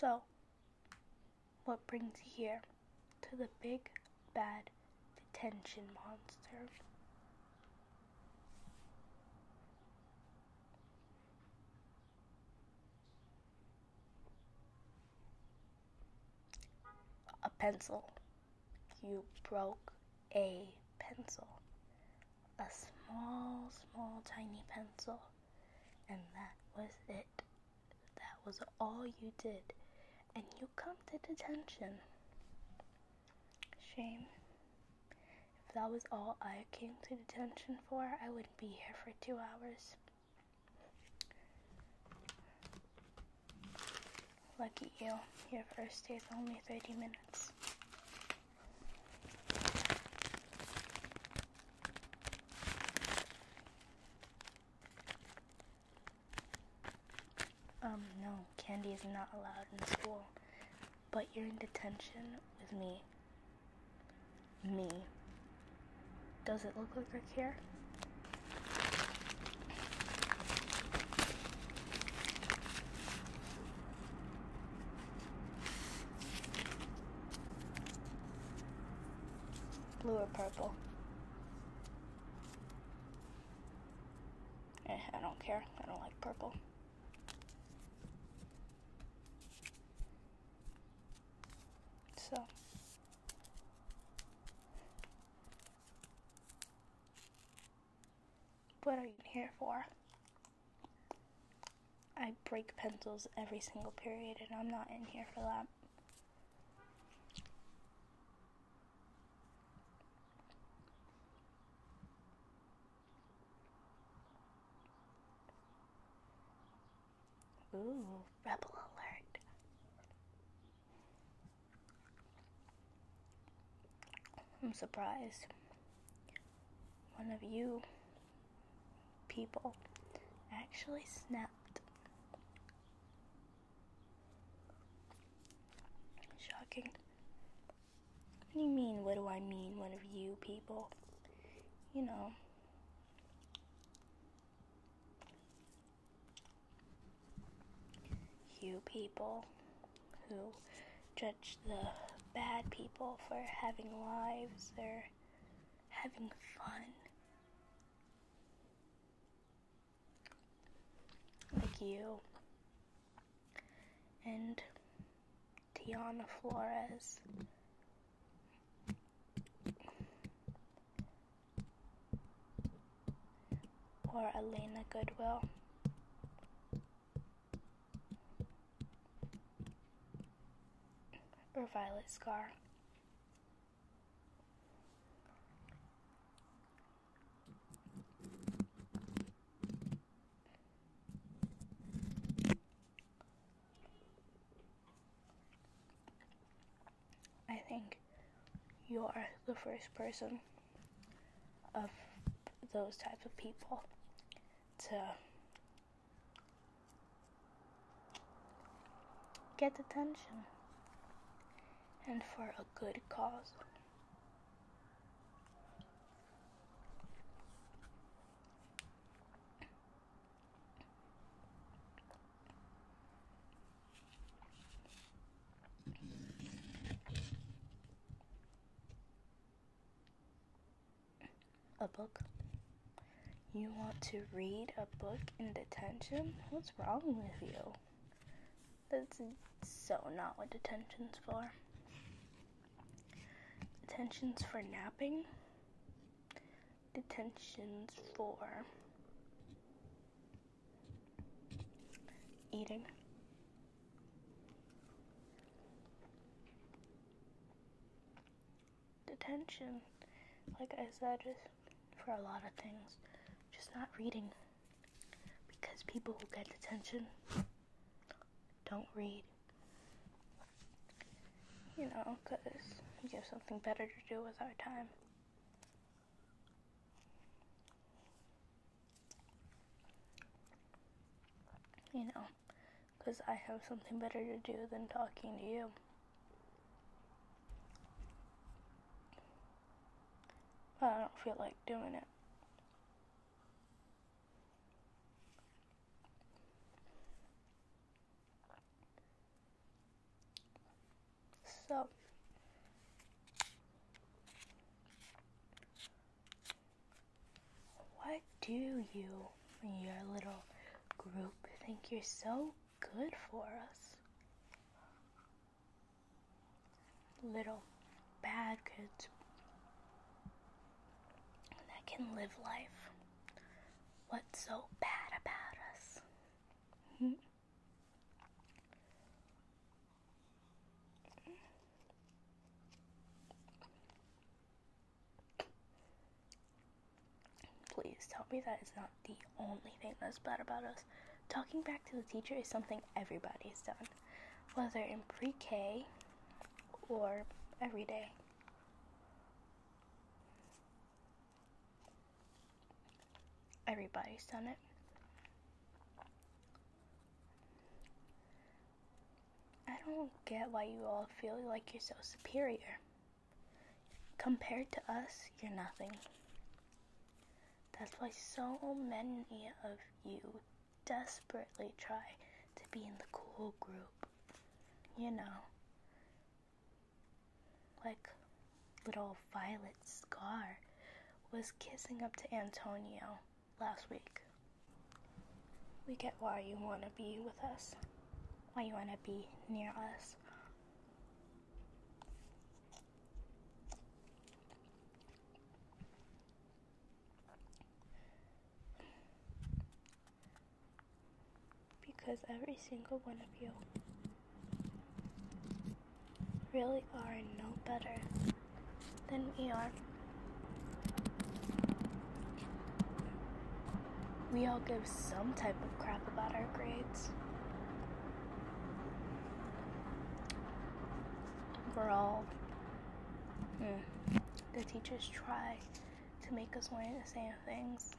So, what brings you here to the big bad detention monster? A pencil. You broke a pencil. A small, small, tiny pencil. And that was it. That was all you did. And you come to detention. Shame. If that was all I came to detention for, I wouldn't be here for two hours. Lucky you, your first day is only 30 minutes. Um, no, candy is not allowed in school. But you're in detention with me. Me. Does it look like I care? Blue or purple? Eh, I don't care. I don't like purple. So. What are you here for? I break pencils every single period, and I'm not in here for that. Ooh, rebel alert. I'm surprised one of you people actually snapped. Shocking. What do you mean, what do I mean, one of you people? You know you people who judge the bad people for having lives they're having fun. Like you and Tiana Flores or Elena Goodwill. Or Violet Scar. I think you're the first person of those types of people to get attention and for a good cause. A book? You want to read a book in detention? What's wrong with you? That's so not what detention's for. Detention's for napping. Detention's for eating. Detention, like I said, is for a lot of things, just not reading. Because people who get detention don't read. You know, because you have something better to do with our time. You know, because I have something better to do than talking to you. But I don't feel like doing it. So what do you and your little group think you're so good for us? Little bad kids that can live life. What's so bad about us? Hmm? Please tell me that is not the only thing that's bad about us. Talking back to the teacher is something everybody's done, whether in pre K or every day. Everybody's done it. I don't get why you all feel like you're so superior. Compared to us, you're nothing. That's why so many of you desperately try to be in the cool group. You know, like little violet scar was kissing up to Antonio last week. We get why you want to be with us, why you want to be near us. Because every single one of you really are no better than we are. We all give some type of crap about our grades. We're all. Mm, the teachers try to make us learn the same things.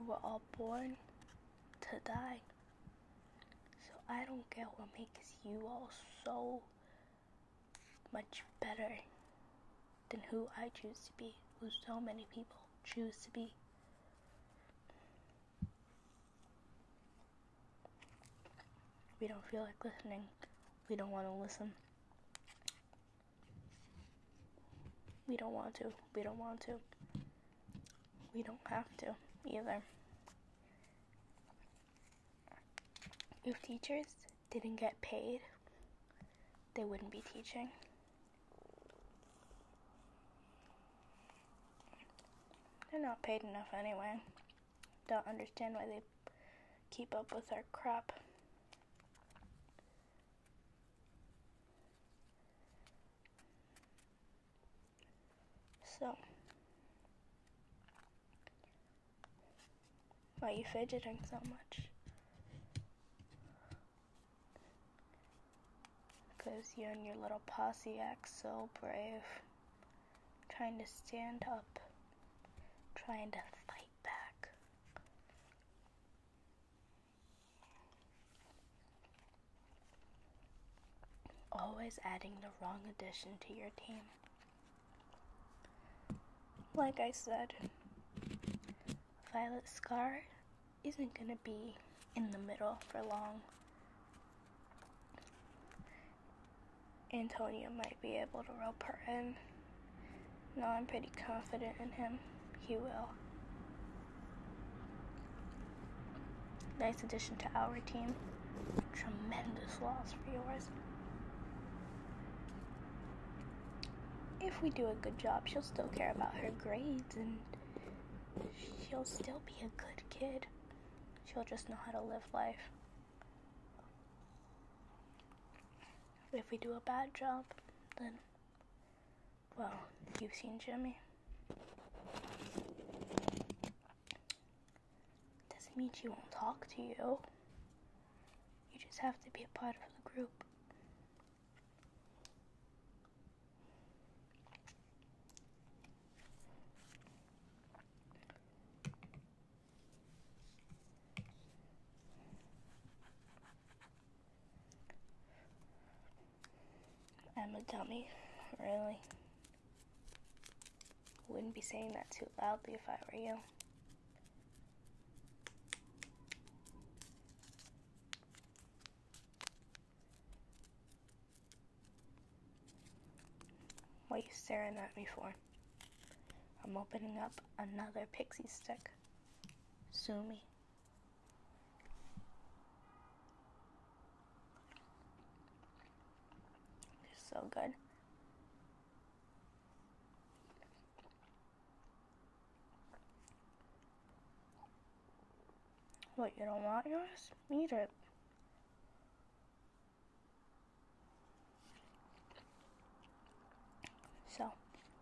We were all born to die. So I don't get what makes you all so much better than who I choose to be, who so many people choose to be. We don't feel like listening. We don't want to listen. We don't want to. We don't want to we don't have to either. If teachers didn't get paid, they wouldn't be teaching. They're not paid enough anyway. Don't understand why they keep up with our crap. So. Why are you fidgeting so much? Because you and your little posse act so brave. Trying to stand up. Trying to fight back. Always adding the wrong addition to your team. Like I said, Violet Scar isn't going to be in the middle for long. Antonio might be able to rope her in. No, I'm pretty confident in him. He will. Nice addition to our team. Tremendous loss for yours. If we do a good job, she'll still care about her grades and she'll still be a good kid. She'll just know how to live life. If we do a bad job, then well, you've seen Jimmy. Doesn't mean she won't talk to you. You just have to be a part of the group. I'm a dummy, really. Wouldn't be saying that too loudly if I were you. What are you staring at me for? I'm opening up another pixie stick. Sue me so good. What, you don't want you yours? Eat it. So,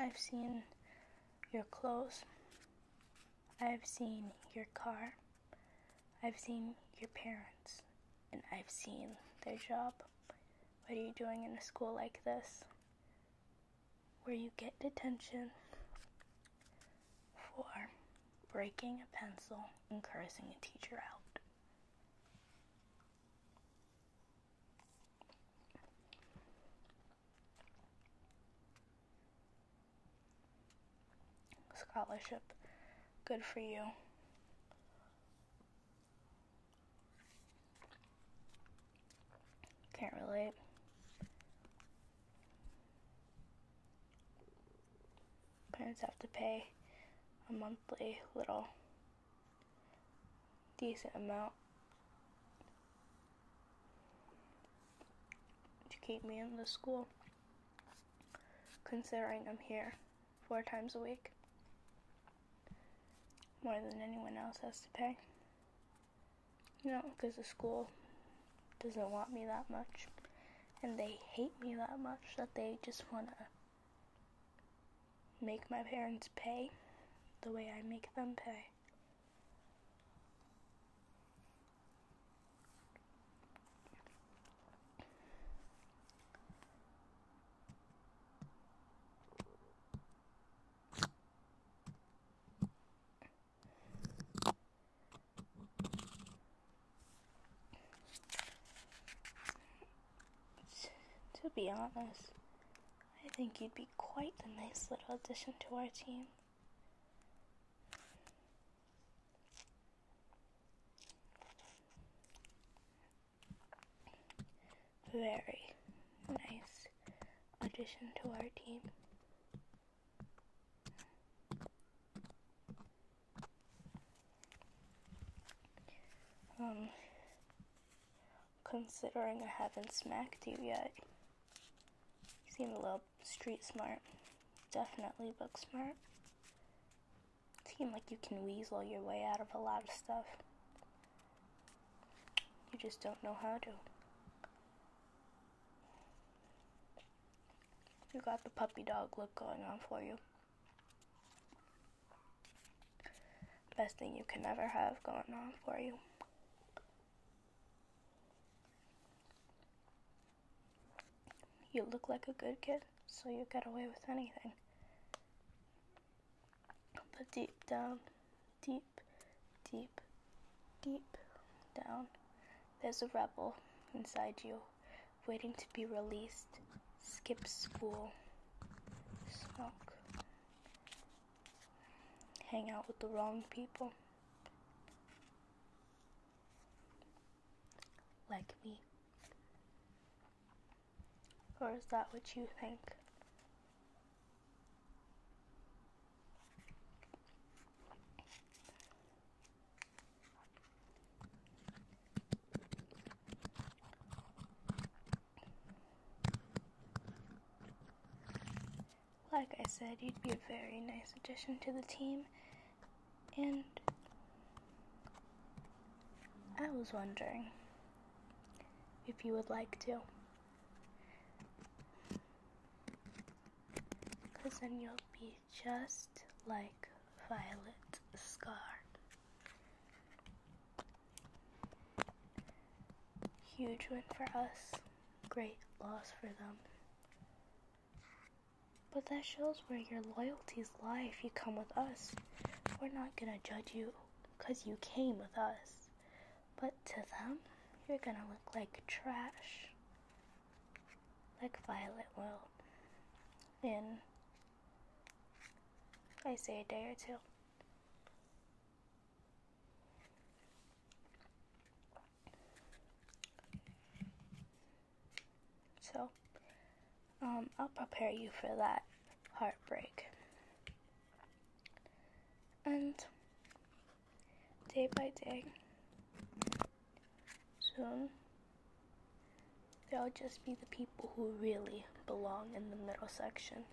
I've seen your clothes I've seen your car, I've seen your parents, and I've seen their job. What are you doing in a school like this? Where you get detention for breaking a pencil and cursing a teacher out. Scholarship. Good for you. Can't relate. Parents have to pay a monthly little decent amount to keep me in the school considering I'm here four times a week. More than anyone else has to pay. You know, because the school doesn't want me that much. And they hate me that much that they just want to make my parents pay the way I make them pay. To be honest, I think you'd be quite a nice little addition to our team. Very nice addition to our team. Um, considering I haven't smacked you yet, seem a little street smart. Definitely book smart. Seem like you can weasel your way out of a lot of stuff. You just don't know how to. You got the puppy dog look going on for you. Best thing you can ever have going on for you. You look like a good kid, so you get away with anything. But deep down, deep, deep, deep down, there's a rebel inside you, waiting to be released. Skip school. Smoke. Hang out with the wrong people like me? Or is that what you think? Like I said, you'd be a very nice addition to the team, and I was wondering if you would like to. Because then you'll be just like Violet Scar. Huge win for us, great loss for them. But that shows where your loyalties lie if you come with us. We're not gonna judge you because you came with us. But to them, you're gonna look like trash. Like Violet will. In, I say, a day or two. So, um, I'll prepare you for that heartbreak. And day by day, soon, there'll just be the people who really belong in the middle section.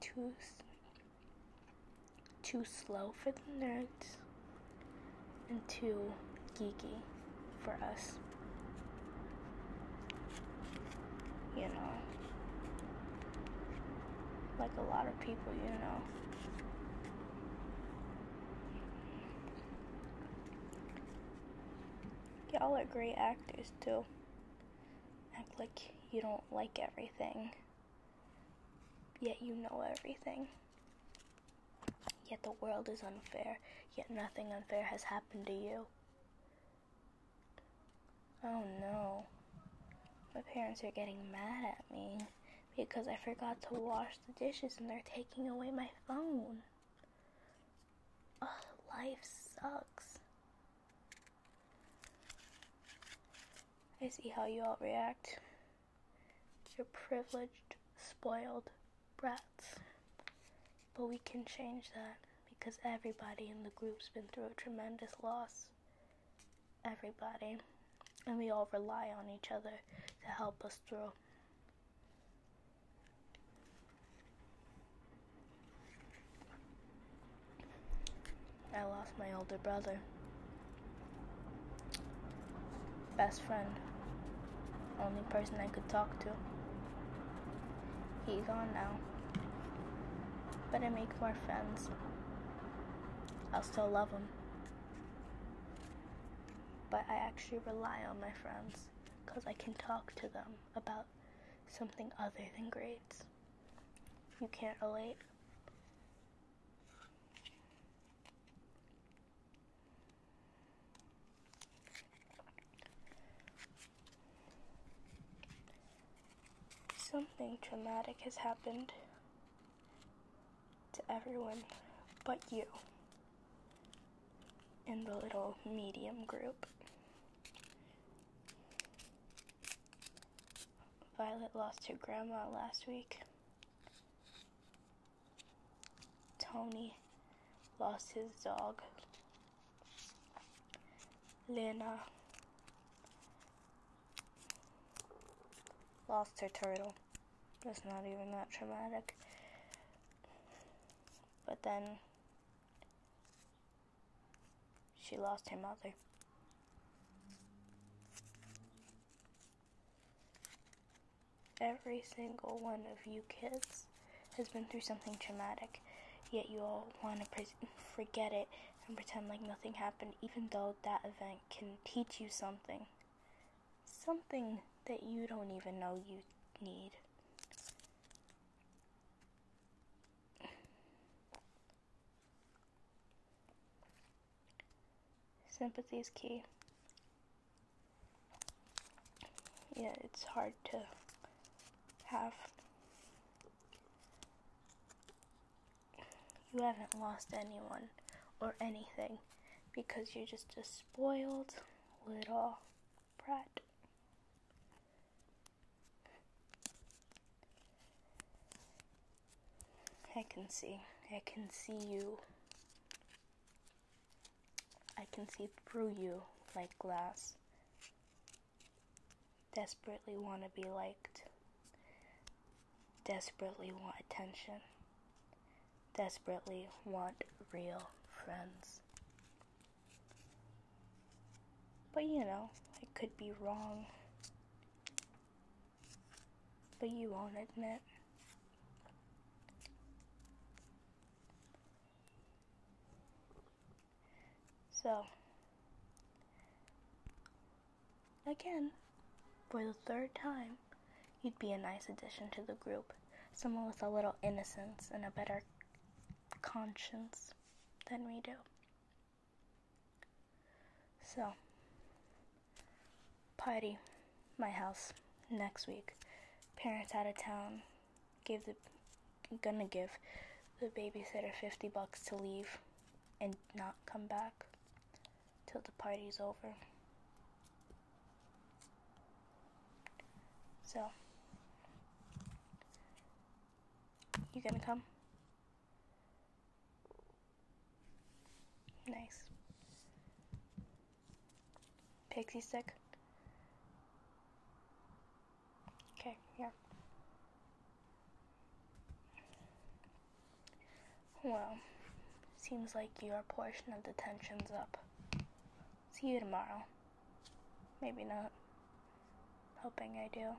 Two too slow for the nerds, and too geeky for us. You know, like a lot of people, you know. Y'all are great actors too. Act like you don't like everything. Yet you know everything. Yet the world is unfair, yet nothing unfair has happened to you. Oh no. My parents are getting mad at me because I forgot to wash the dishes and they're taking away my phone. life sucks. I see how you all react. You're privileged, spoiled brats. But we can change that because everybody in the group's been through a tremendous loss. Everybody. And we all rely on each other to help us through. I lost my older brother. Best friend. Only person I could talk to. He has gone now. but I make more friends. I'll still love him. But I actually rely on my friends because I can talk to them about something other than grades. You can't relate. Something traumatic has happened to everyone but you in the little medium group. Violet lost her grandma last week. Tony lost his dog. Lena lost her turtle. It's not even that traumatic. But then she lost her mother. Every single one of you kids has been through something traumatic, yet you all want to forget it and pretend like nothing happened, even though that event can teach you something. Something that you don't even know you need. Sympathy is key. Yeah, it's hard to have. You haven't lost anyone or anything because you're just a spoiled little brat. I can see. I can see you. I can see through you like glass. Desperately want to be liked. Desperately want attention. Desperately want real friends. But you know, I could be wrong. But you won't admit. So, again, for the third time, you'd be a nice addition to the group. Someone with a little innocence and a better conscience than we do. So, party, my house, next week. Parents out of town, gonna give the babysitter 50 bucks to leave and not come back till the party's over. So, you gonna come? Nice. Pixie stick. Okay, Yeah. Well, seems like your portion of detention's up. See you tomorrow. Maybe not. Hoping I do.